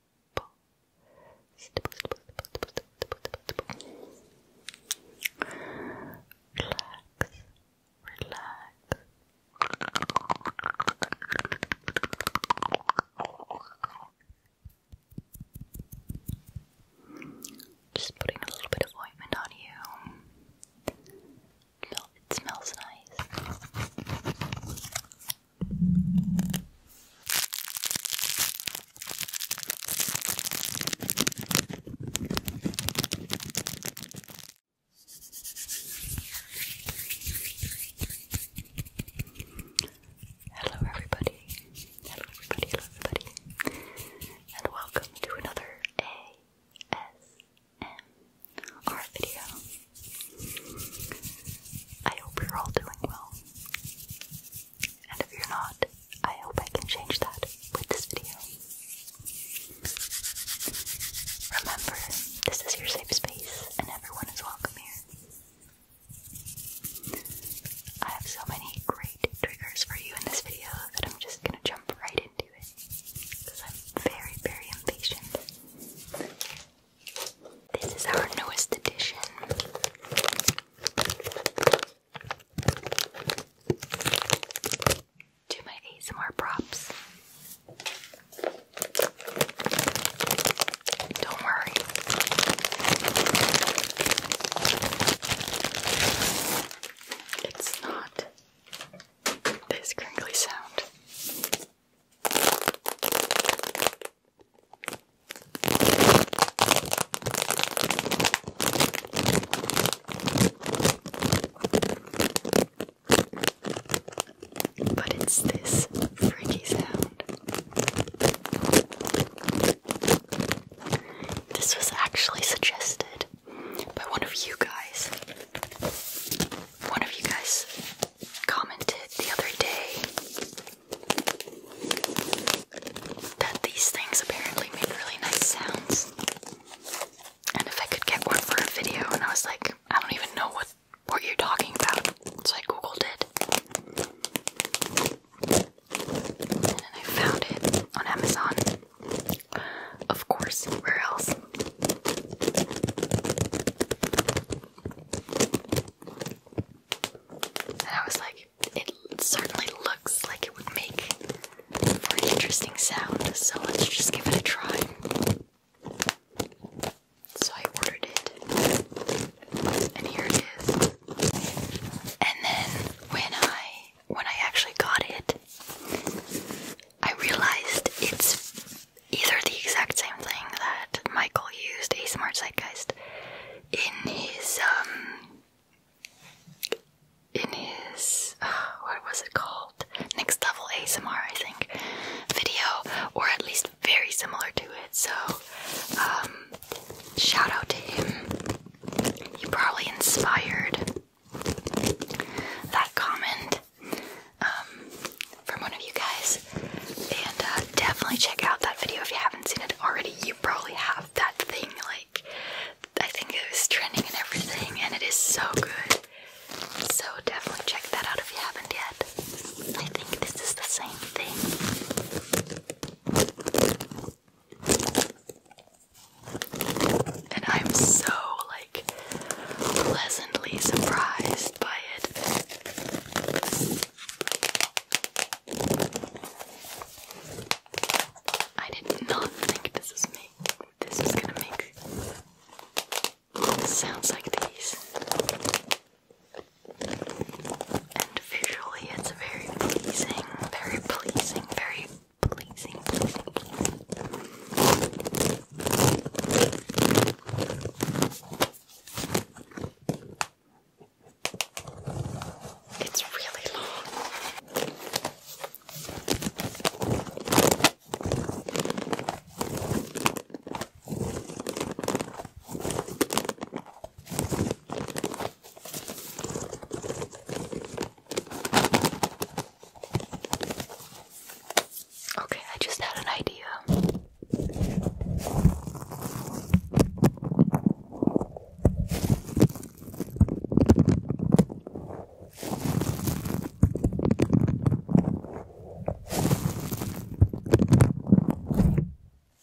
Relax, relax. Just putting a little bit of ointment on you. It smells nice. Hello, everybody. Hello, everybody. Hello, everybody. And welcome to another ASMR video. I hope you're all doing well. And if you're not, I hope I can change that with this video. Remember, this is your safe space and everyone is welcome here. I have so many great triggers for you in this video that I'm just gonna jump right into it because I'm very, very impatient. This is our newest edition do my ASMR props. Don't worry. It's not this crinkly sound. But it's this freaky sound. This was actually suggested by one of you guys. One of you guys commented the other day that these things apparently made really nice sounds. And if I could get one for a video, and I was like, I don't even know what what you're talking about, so I Google did, And I found it on Amazon. Of course, where else? And I was like, it certainly looks like it would make for an interesting sound, so let's just give it a try. So I ordered it, and here it is. And then when I when I actually got it, I realized it's either the exact same thing that Michael used, a smart zeitgeist, in his um in his what was it called next level ASMR I think video or at least very similar to it so um shout out to him he probably inspired that comment um, from one of you guys and uh, definitely check out that video if you haven't seen it already you probably have that thing, like, I think it was trending and everything, and it is so good. So definitely check that out if you haven't yet. I think this is the same thing. And I'm so, like, pleasantly surprised by it. I did not think this was me. This is gonna make sounds like these. And visually, it's very pleasing, very pleasing, very pleasing. It's really long. Okay, I just had an idea.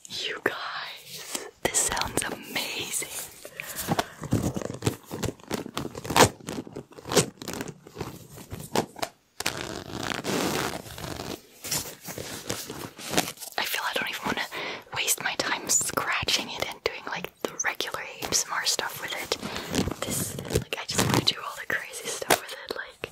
You guys, this sounds amazing. I feel I don't even want to waste my time scratching it and doing like the regular ASMR stuff with it. This, like, I just want to do all the crazy stuff with it, like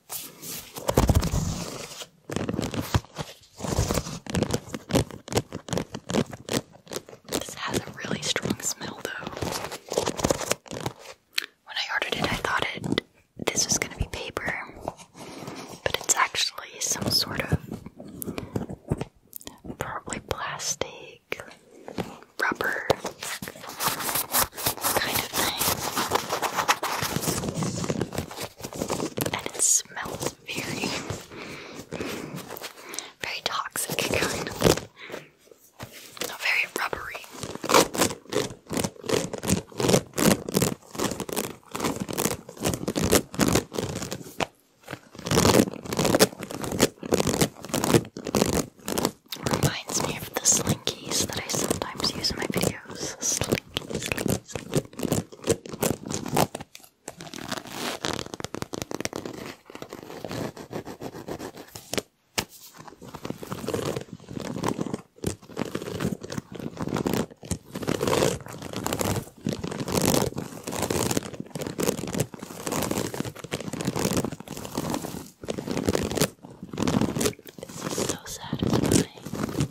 This has a really strong smell though. When I ordered it, I thought it this was gonna be paper, but it's actually some sort of probably plastic, rubber kind of thing. And it smells very, very toxic, kind of. Not very rubbery. Reminds me of the slinkies that I sometimes use in my videos sleep, sleep. This is so satisfying.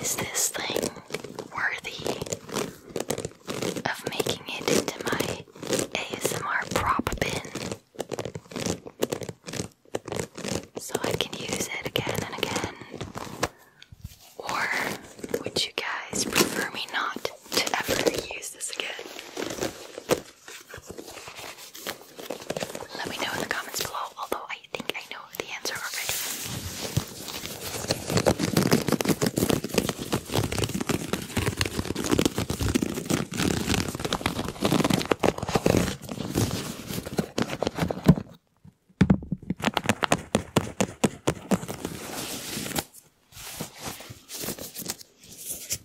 Is this thing worthy of making it into my ASMR prop bin so I can use it again and again? Or would you guys prefer me not to ever use this again? Let me know in the comments below, although I think I know the answer already.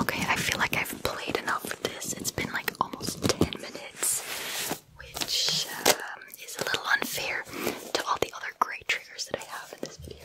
Okay, I feel like I've played enough of this. It's been like almost 10 minutes, which um, is a little unfair to all the other great triggers that I have in this video.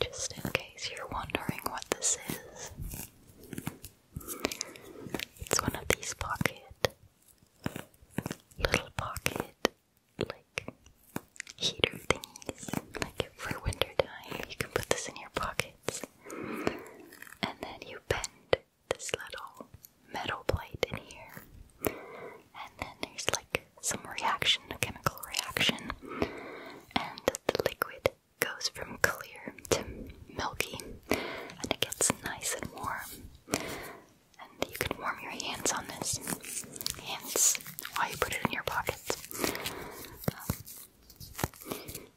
Just in case you're wondering what this is, it's one of these pocket, little pocket, like heater thingies. Like for winter you can put this in your pocket. And then you bend this little metal plate in here. And then there's like some reaction, a chemical reaction. And the liquid goes from clear to milky. And it gets nice and warm. And you can warm your hands on this. Hands while you put it in your pockets. Um,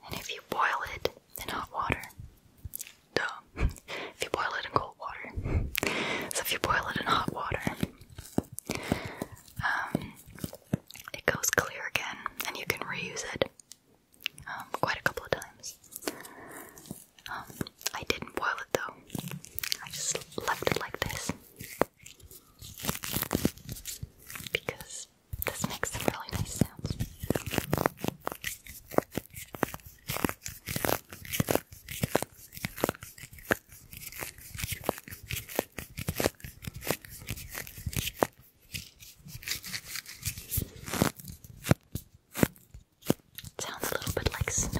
and if you boil it, in hot water. Duh. if you boil it in cold water. so if you boil it in hot water, um, it goes clear again and you can reuse it um, quite a couple of times. Um, I didn't boil it though, I just left it like this because this makes a really nice sound. sounds a little bit like snow.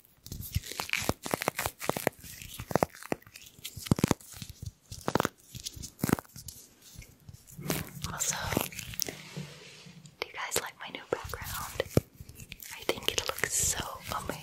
Also, do you guys like my new background? I think it looks so amazing.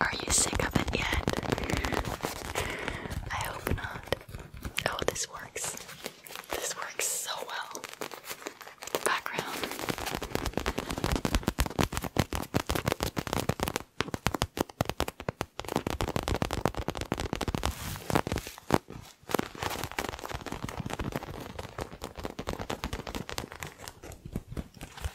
Are you sick of it yet? I hope not. Oh, this works. This works so well. background.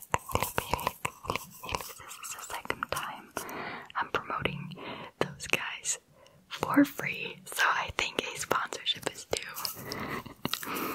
This is the second time I'm promoting those guys for free, so I think a sponsorship is due.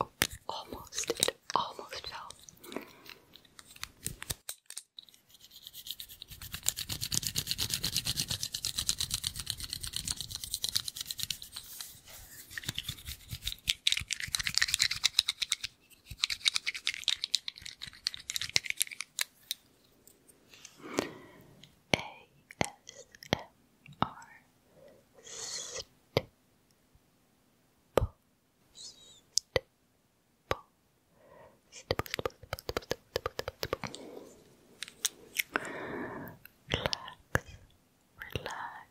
Oh, almost, it almost fell. ASMR Stipple Stipple Stipple Stipple Stipple Stipple Relax Relax Relax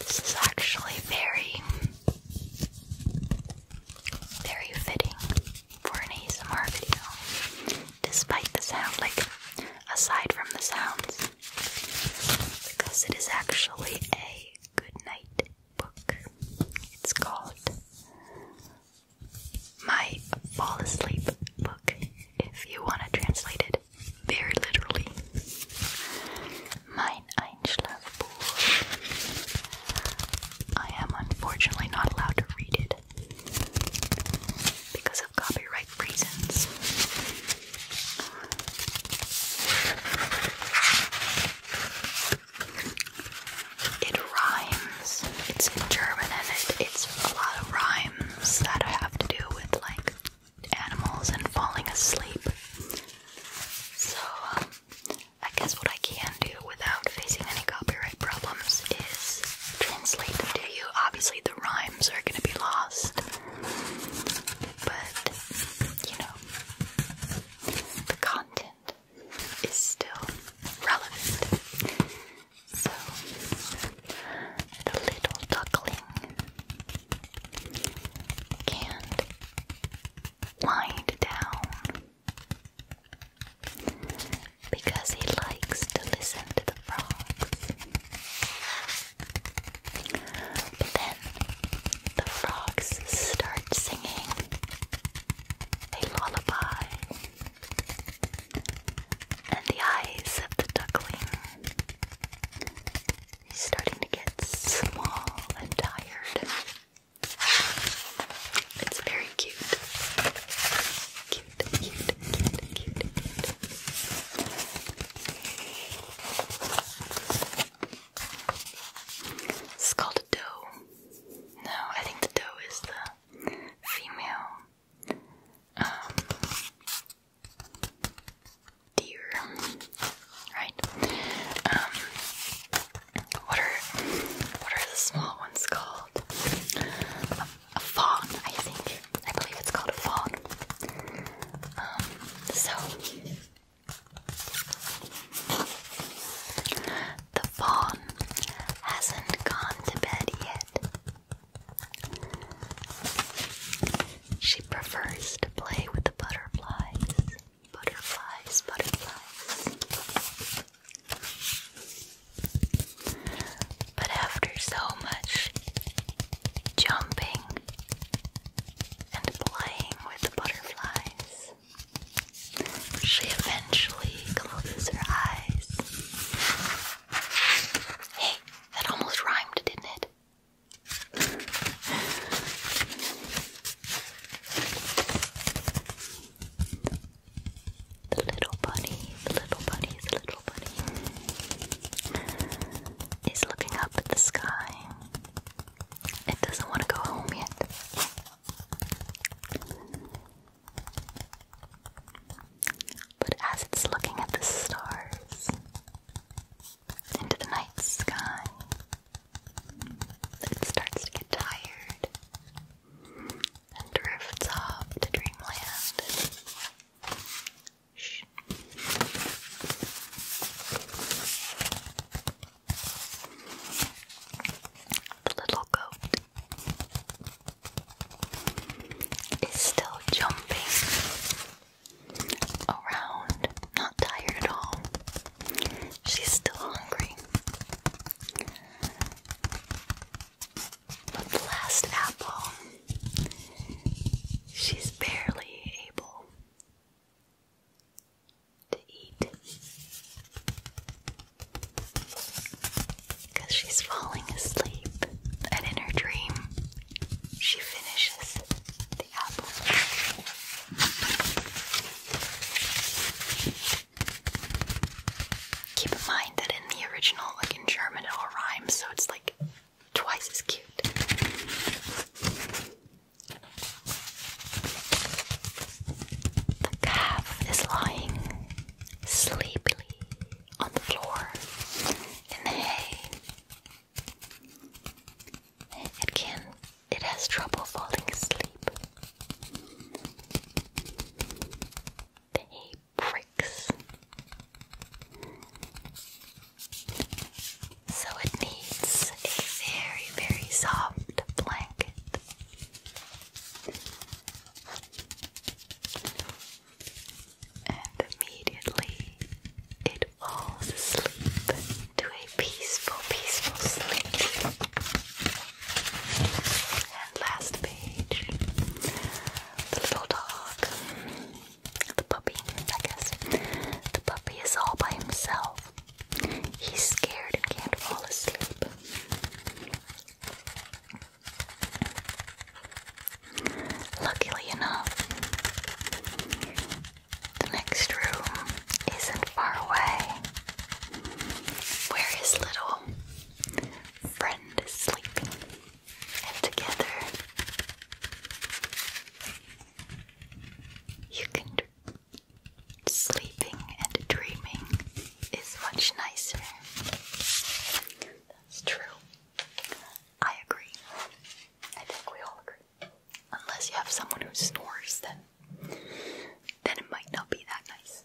This is actually very, very fitting for an ASMR video. Despite the sound, like aside from the sounds, because it is actually a good night book. It's called My Fall Asleep Book, if you want to translate it very literally. Mein Einschlafbuch. I am unfortunately not allowed to read it because of copyright reasons. It rhymes. It's in German and it, it's a lot of rhymes that have to do with like animals and falling asleep. So, uh, I guess what I can do without facing any copyright problems is translate them to you. Obviously, the rhymes are going to be lost, but, you know, the content is still relevant. So, the little duckling can wind down because he likes to listen to the frogs. But then the frogs start singing a lullaby, and the eyes of the duckling is starting to get small and tired. It's very Cute, cute, cute, cute, cute. It's called a doe. No, I think the doe is the female um, deer, right? Um, what are what are the small ones called? a fawn, I think. I believe it's called a fawn. Um, so the fawn hasn't gone to bed yet. She prefers to play with the butterflies. Butterflies, butterflies. But after so much jumping and playing with butterflies. She eventually closes her eyes. Hey, that almost rhymed, didn't it? The little bunny, the little bunny, the little bunny is looking up at the sky. It doesn't want to go home yet. But as it's looking at the stars into the night sky, it starts to get tired and drifts off to dreamland. The little goat is still jumping around, not tired at all. She's still hungry. But the last apple, she's barely able to eat because she's falling asleep, and in her dream, she finishes the apple. Keep in mind that in the original, like in German, it all rhymes, so it's like twice as cute. The calf is lying sleepily on the floor in the hay. It can, it has trouble falling asleep. The hay pricks. So it needs a very, very soft blanket. And immediately it falls asleep to a peaceful, peaceful sleep. And last page the little dog the puppy, I guess. The puppy is all by himself. He's scared and can't fall asleep. Luckily enough, the next room isn't far away where his little friend is sleeping, and together you can. Sleeping and dreaming is much nicer. That's true. I agree. I think we all agree. Unless you have someone who snores, then then it might not be that nice.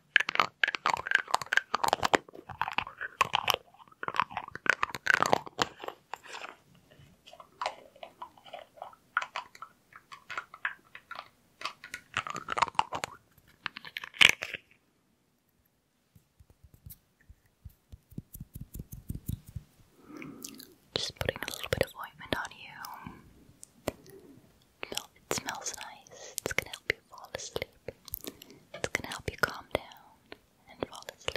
Just putting a little bit of ointment on you. It smells nice. It's gonna help you fall asleep. It's gonna help you calm down and fall asleep.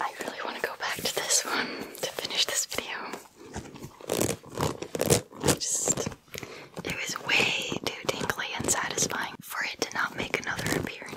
I really want to go back to this one to finish this video. it was way too tingly and satisfying for it to not make another appearance.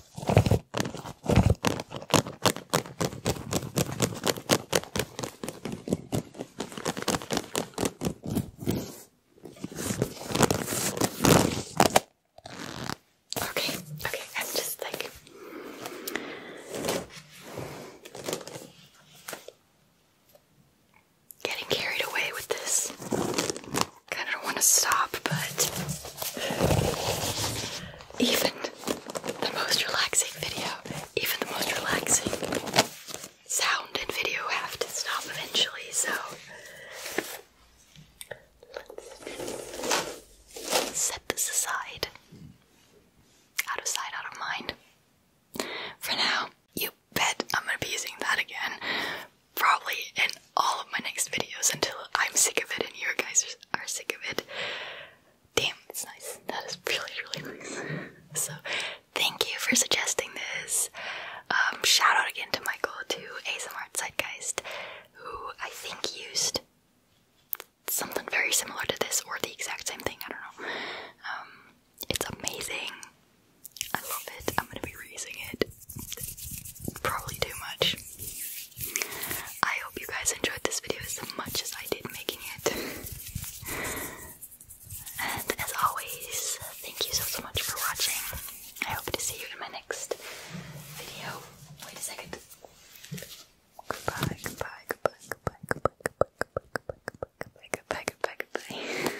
Okay, okay, I'm just like getting carried away with this. Kind of want to stop, but even the most relaxing video, even the most relaxing sound and video have to stop eventually, so let's set this aside. Out of sight, out of mind. For now, you bet I'm gonna be using that again, probably in all of my next videos until I'm sick of it and you guys are sick of it. Damn, it's nice. That is really, really nice. So, thank you for suggesting this. Um, shout out again to Michael, to ASMR Zeitgeist, who I think used something very similar to this or the exact same thing. I don't know. Um, it's amazing. I love it. I'm gonna be reusing it. Probably too much. I hope you guys enjoyed this video as much as I did making it. and as always, thank you so so much for watching. I hope to see you in my next video. Wait a second. Goodbye, goodbye, goodbye, goodbye, goodbye, goodbye, goodbye, goodbye, goodbye, goodbye, goodbye,